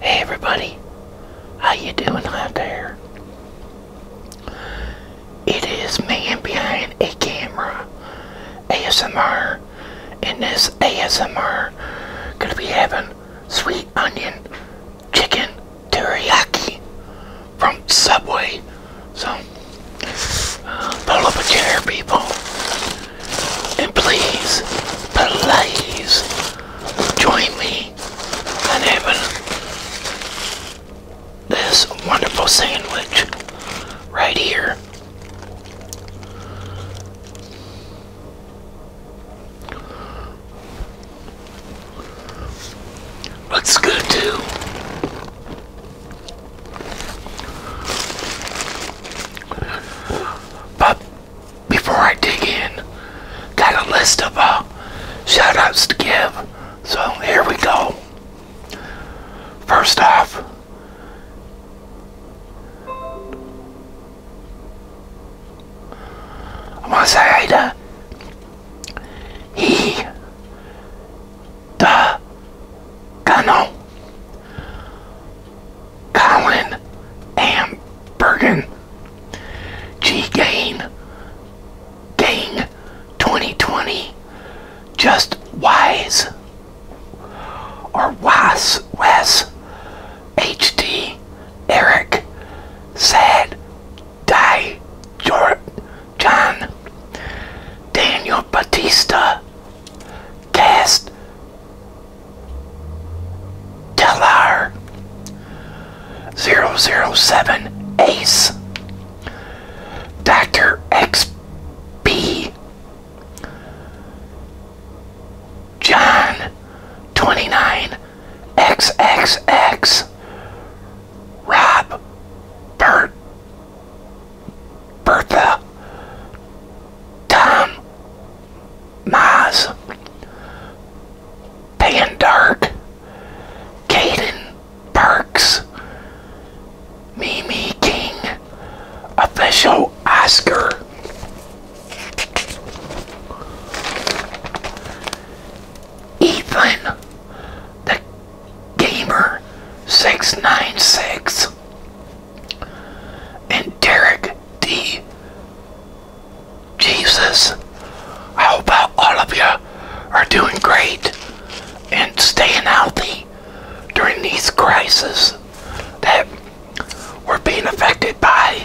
Hey everybody, how you doing out there? It is man behind a camera, ASMR, and this ASMR gonna be having sweet onion chicken teriyaki from Subway. So, uh, pull up a chair, people. And please, please, join me in having this wonderful sandwich right here. Looks good too. But before I dig in, got a list of uh, shout to give. So here we go. First off, I'm to say to he the Gunnel, Colin Bergen, G Gain, Ding 2020, Just Wise, or Was, Wes, HD, Eric, Sad, Die, George, John, Daniel Batista, Cast Telar 007 Ace Dr. XP John 29 XXX Rob Bert Bertha, Tom, Maz, Dark, Caden Parks, Mimi King, Official Oscar. Ethan, the Gamer 696 and Derek D. Jesus. I hope that all of you are doing great and staying healthy during these crises that we're being affected by.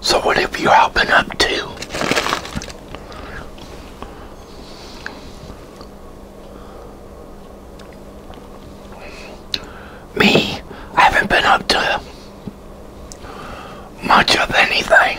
So what have you been up to? Me, I haven't been up to much of anything.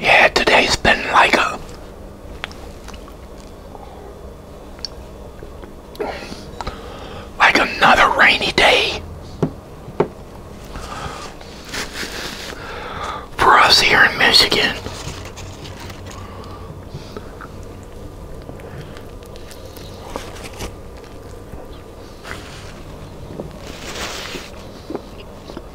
Yeah, today's been like a like another rainy day for us here in Michigan.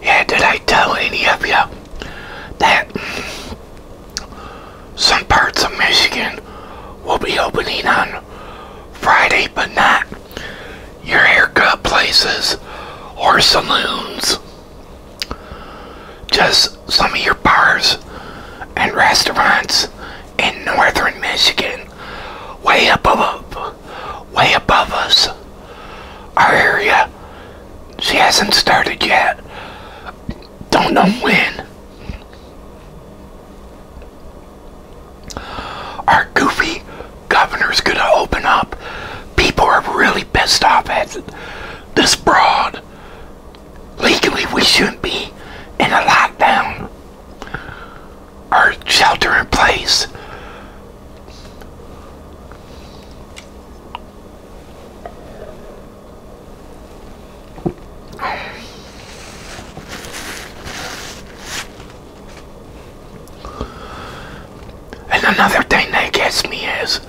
Yeah, did I tell any of you that some parts of Michigan will be opening on Friday, but not your haircut places or saloons. Just some of your bars and restaurants in northern Michigan, way above, way above us. Our area, she hasn't started yet. Don't know when. Our goofy governor's going to open up. People are really pissed off at this broad. Legally, we shouldn't be in a lockdown or shelter in place. And another thing that gets me is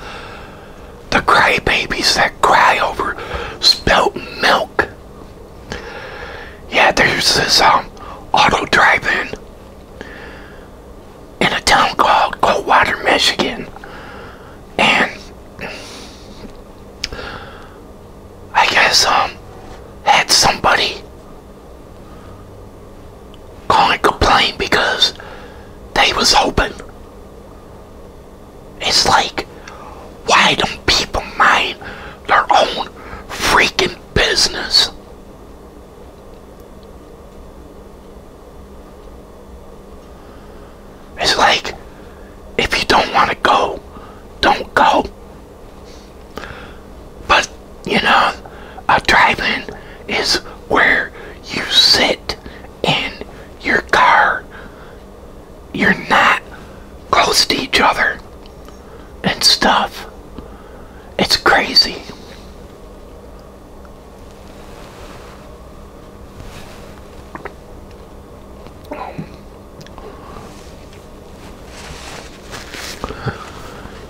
the crybabies that cry over spilt milk. Yeah, there's this um, auto driving in in a town called Coldwater, Michigan. And I guess um had somebody can't complain because they was open. It's like, why don't people mind their own freaking business? It's like, if you don't want to go, don't go. But, you know, a drive is where you sit in your car. You're not close to each other and stuff. It's crazy.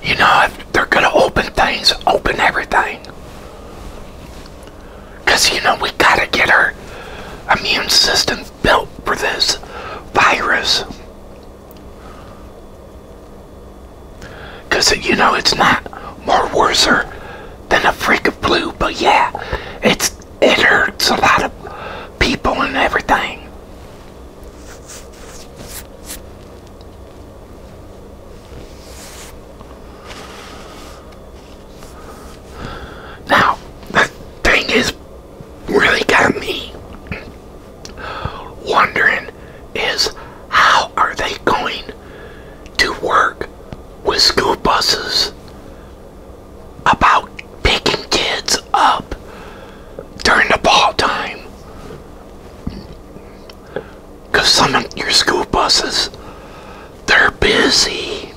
You know, they're going to open things, open everything. Because, you know, we got to get our immune system built for this virus. Because, you know, it's not more worser than a freak of blue, but yeah, it's it hurts a lot of people and everything. Now, the thing is really got me wondering is how are they going to work with school buses about picking kids up during the ball time. Because some of your school buses, they're busy.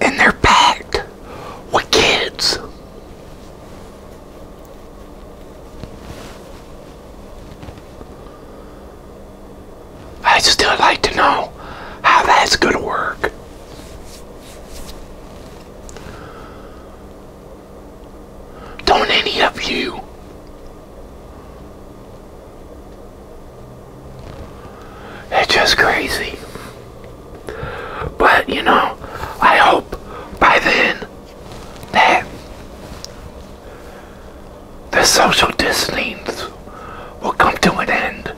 And they're packed with kids. I still like to know how that's going to work. Don't any of you It's just crazy. But you know, I hope by then that the social distancing will come to an end.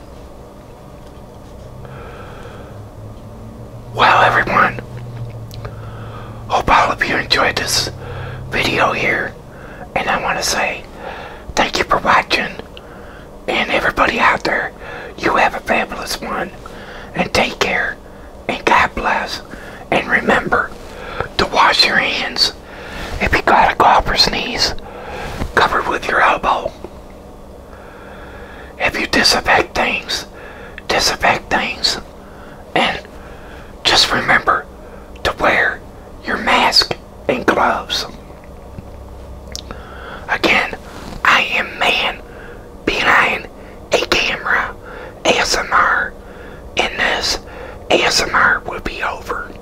Well, everyone, hope all of you enjoyed this video here. And I want to say thank you for watching. And everybody out there, you have a fabulous one. And take care. And God bless. And remember to wash your hands. If you got a cough or sneeze, cover with your elbow. If you disaffect things, disaffect things. And just remember to wear your mask and gloves. Again, I am man behind a camera ASMR, and this ASMR will be over.